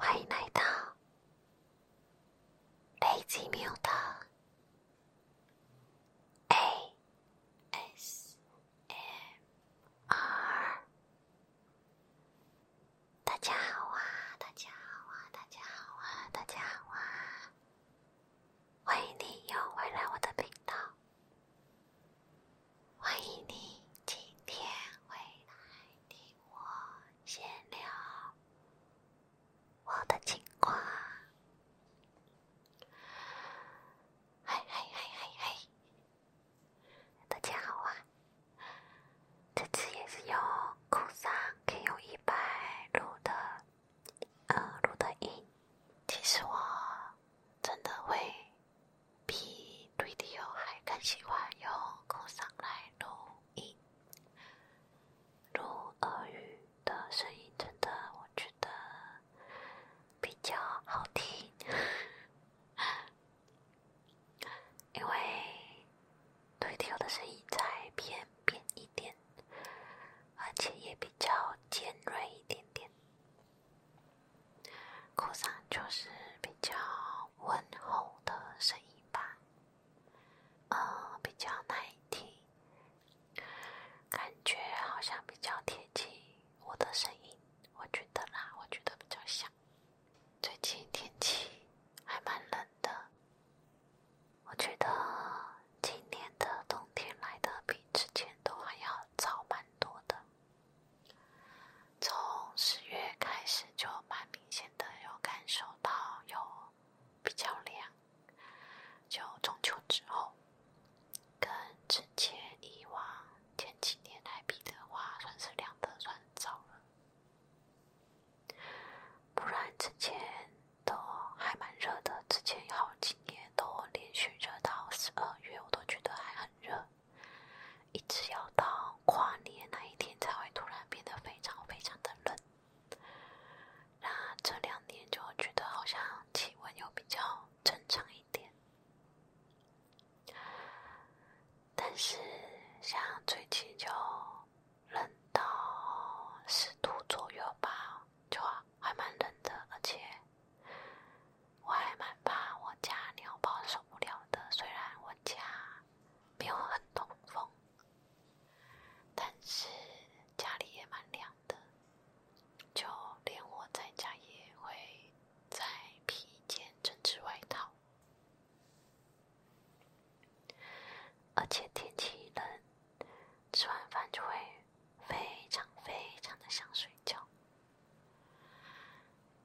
はい泣いたレイジーミオタ A S 一、二，大家好啊！大家好啊！大家好啊！大家好啊！欢迎你又回来我的频道，欢迎你今天回来听我闲聊我的情况。嗨嗨嗨嗨嗨！大家好啊！这次也是用酷尚可以用一百录的，呃，录的音。其实我真的会比录音机还更喜欢用酷尚来录音，录耳语的声音真的我觉得比较好听。因为推调的声音再偏扁一点，而且也比较尖锐一点点，哭丧就是比较温和的声音吧，呃，比较耐听，感觉好像比较贴近我的声音。我觉得啦，我觉得比较像。最近天气还蛮冷的，我觉得今年的冬天来的比之前都还要早蛮多的。从十月开始就蛮明显的有感受到有比较凉，就中秋之后。跟之前以往前几年来比的话，算是凉的算早了。不然之前都还蛮热的，之前好几年都连续热到十二月，我都觉得还很热，一直要到跨年那一天才会突然变得非常非常的冷。那这两年就觉得好像气温又比较正常一点。点，但是像最近就冷到十度左右吧，就还蛮冷的，而且我还蛮怕我家鸟包受不了的。虽然我家没有很通风，但是家里也蛮凉。的，就连我在家也会再披一件针织外套，而且天气一冷，吃完饭就会非常非常的想睡觉。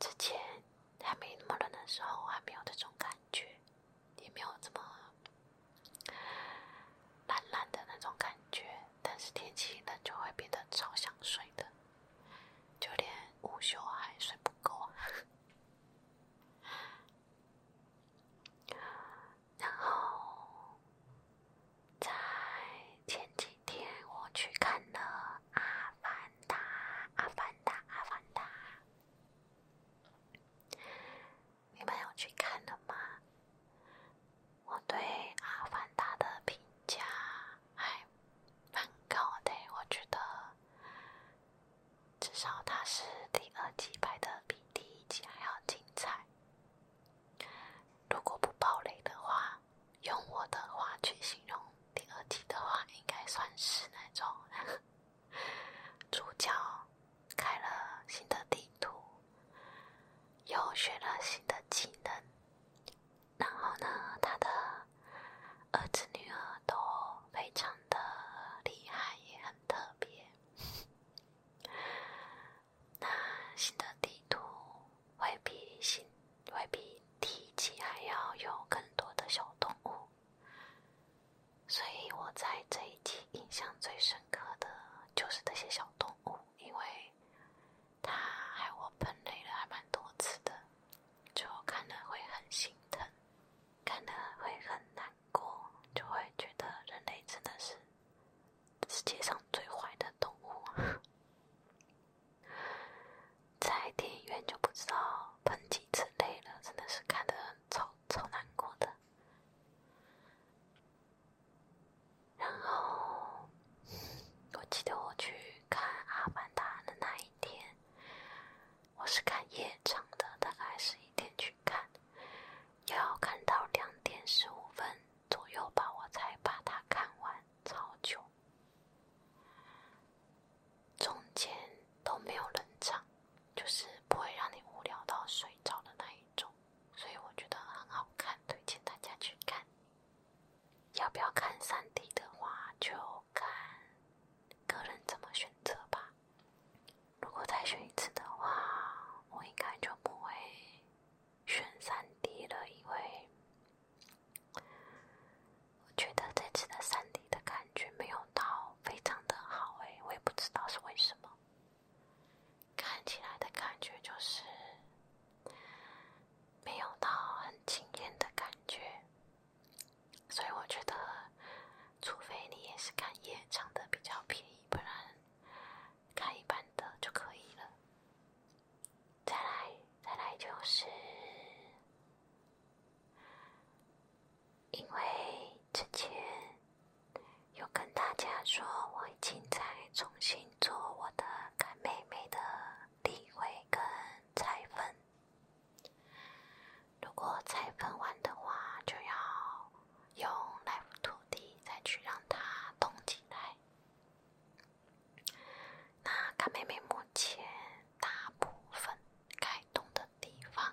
之前还没那么冷的时候，还没有这种感觉，也没有这么懒懒的那种感觉。但是天气冷就会变得超想睡的，就连午休还睡不够。然后在前几天我去看了《阿凡达》，阿凡达，阿凡达，你们有去看了吗？我对《阿凡达》的评价还蛮高的，我觉得至少它是第二季拍的比第一季还要精彩。如果不暴雷的话，用我的话去形容第二季的话，应该算是那种 主角开了新的地图。又学了新的技能，然后呢，他的儿子女儿都非常的厉害，也很特别。那新的地图会比新、会比第一季还要有更多的小动物，所以我在这一季印象最深刻的就是那些小动物，因为。它还我喷泪了，还蛮多次的，就看的会很心疼，看的会很难过，就会觉得人类真的是世界上最坏的动物。在电影院就不知道喷几次泪了，真的是看的超超难过的。然后，我记得我去看《阿凡达》的那一天，我是看夜场的，大概十一点去看，要看到两点十五分左右吧，我才把它看完，超久。中间都没有冷场，就是不会让你无聊到睡着的那一种。所以我觉得很好看，推荐大家去看。要不要看三 D 的话，就看个人怎么选择吧。如果再选一次的话，我应该就不会选三 D 了，因为我觉得这次的三 D 的感觉没有到非常的好哎，我也不知道是为什么。看起来的感觉就是没有到很惊艳的感觉，所以我觉得，除非你也是看夜场的比较便宜，不然看一般的就可以了。再来，再来就是，因为之前。有跟大家说，我已经在重新做我的干妹妹的定位跟采分。如果采分完的话，就要用 Life 土地再去让它动起来。那干妹妹目前大部分开动的地方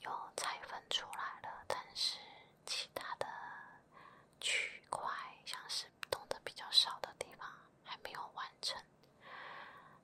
有拆分出来了，但是其他的区块像是动的比较少的地方还没有完成，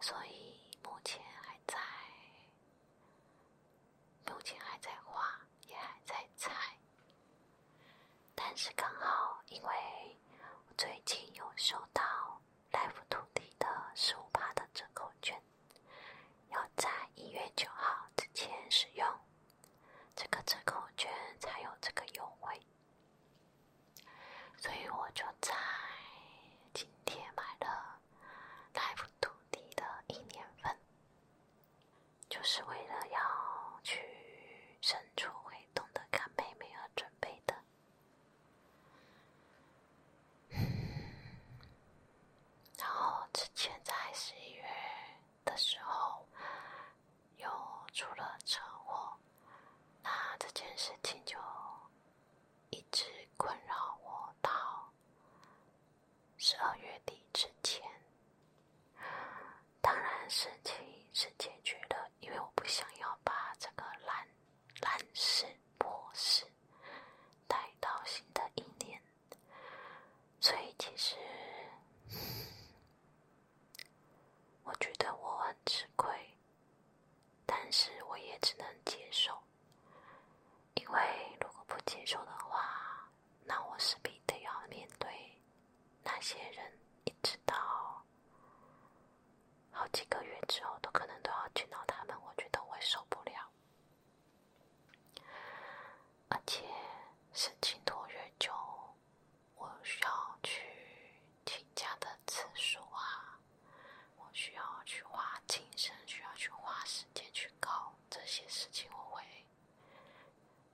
所以目前还在，目前还在画，也还在猜。但是刚好，因为我最近有收到。Life 土地的十五帕的折扣券，要在一月九号之前使用，这个折扣券才有这个优惠。所以我就在今天买了 Life 土地的一年份，就是为了要去深处会懂得看妹妹而准备的。然后之前在十一月的时候，又出了车祸，那这件事情就一直困扰我到十二月底之前。当然事情是解决的，因为我不想要把这个烂烂事拖事。待到新的一年，所以其实我觉得我很吃亏，但是我也只能接受，因为如果不接受的话，那我是必得要面对那些人，一直到。好几个月之后都可能都要见到他们，我觉得我会受不了。而且事情拖越久，我需要去请假的次数啊，我需要去花精神，需要去花时间去搞这些事情，我会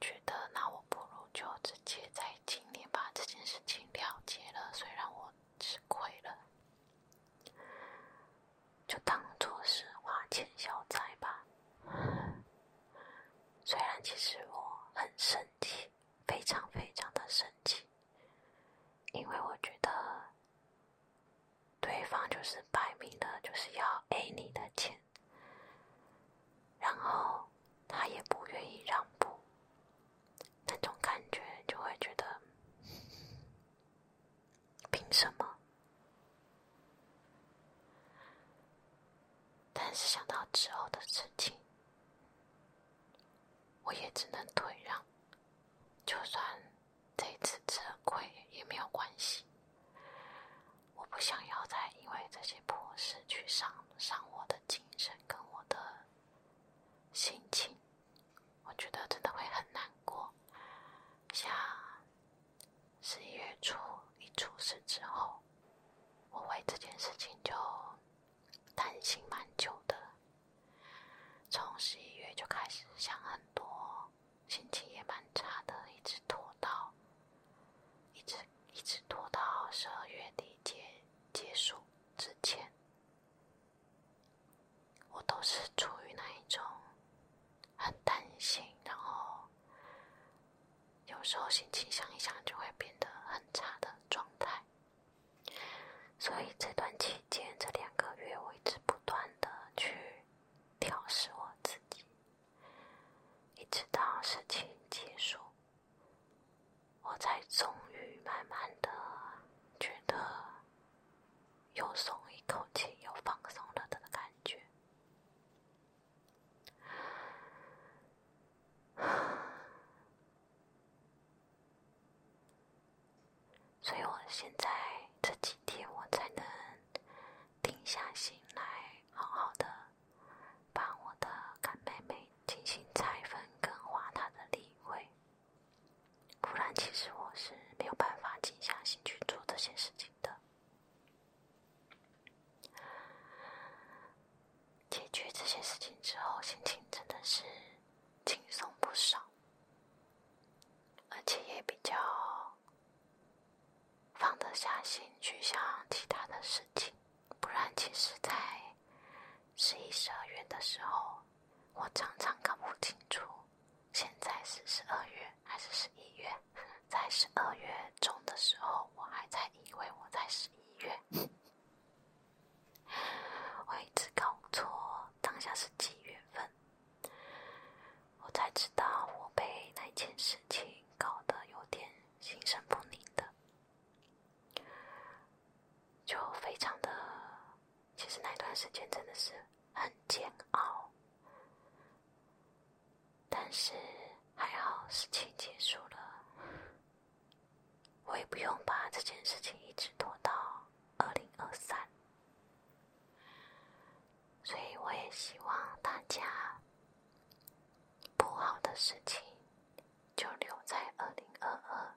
觉得，那我不如就直接在今年把这件事情了结了，虽然我吃亏了。就当做是花钱消灾吧。虽然其实我很生气，非常非常的生气，因为我觉得对方就是摆明的，就是要 A 你的钱，然后他也不愿意让步。那种感觉就会觉得凭什么？但是想到之后的事情，我也只能退让。就算这次吃了亏也没有关系。我不想要再因为这些破事去伤伤我的精神跟我的心情。我觉得真的会很难过。像十一月初一出事之后，我为这件事情就担心蛮久的，从十一月就开始想很多，心情也蛮差的，一直拖到一直一直拖到十二月底结结束之前。我都是处于那一种很担心，然后有时候心情想一想就会变得很差的状态，所以这段期间这两个月，我一直不断的去调试我自己，一直到事情结束。我才终于慢慢的觉得又松一口气，又放松了的感觉。所以我现在这几天，我才能定下心来，好好的把我的干妹妹。进行拆分、更换它的立位。不然，其实我是没有办法静下心去做这些事情的。解决这些事情之后，心情真的是轻松不少，而且也比较放得下心去想其他的事情。不然，其实，在十一、十二月的时候，我常常搞不清楚现在是十二月还是十一月。在十二月中的时候，我还在以为我在十一月，我一直搞错当下是几月份。我才知道我被那件事情搞得有点心神不宁的。就非常的，其实那段时间真的是很煎熬，但是还好事情结束了，我也不用把这件事情一直拖到二零二三，所以我也希望大家不好的事情。就留在二零二二、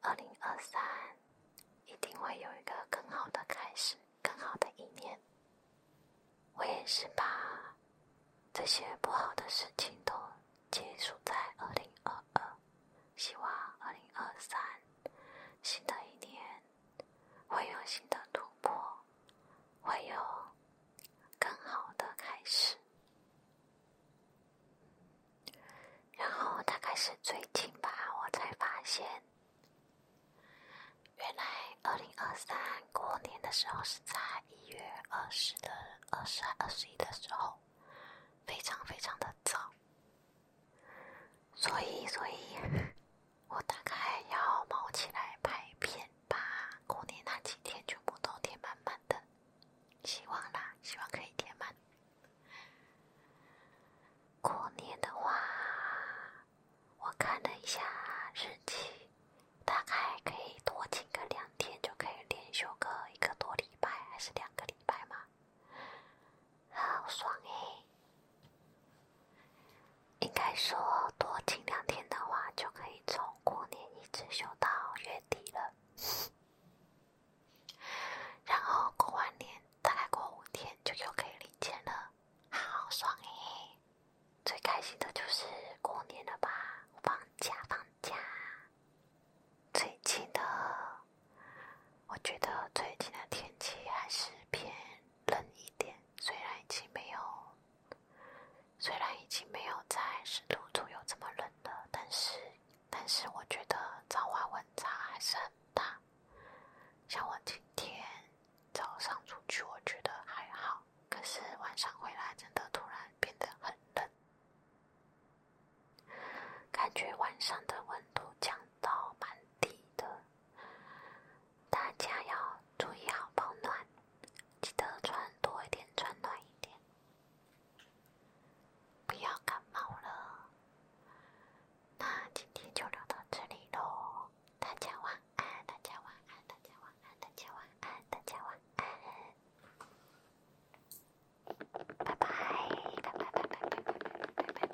二零二三，一定会有一个更好的开始，更好的一年。我也是把这些不好的事情都结束在二零二二，希望二零二三新的一年会有新的突破，会有更好的开始。然后大概是最近吧，我才发现，原来二零二三过年的时候是在一月二十的二十、二十一的时候，非常非常的早，所以，所以 我大概要猫起来拍片。把过年那几天全部都填满满的，希望啦，希望可以填满。过年的话，我看了一下日历，大概可以多请个两天，就可以连休个一个多礼拜，还是两个礼拜嘛，好爽哎！应该说多请两天的话，就可以走。过年一直休到月底了，然后过完年大概过五天就又可以领钱了，好爽哎！最开心的就是过年了吧，放假放假。最近的，我觉得最近的天气还是偏冷一点，虽然已经没有。虽然已经没有在十度左右这么冷了，但是但是我觉得早晚温差还是很大。像我今天早上出去，我觉得还好，可是晚上回来真的突然变得很冷，感觉晚上的温度降到蛮低的。大家要注意好保暖。记得穿多一点，穿暖一点，不要感冒了。那今天就聊到这里喽，大家晚安，大家晚安，大家晚安，大家晚安，大家晚安，拜拜，拜拜拜拜拜拜拜拜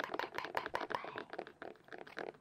拜拜拜拜。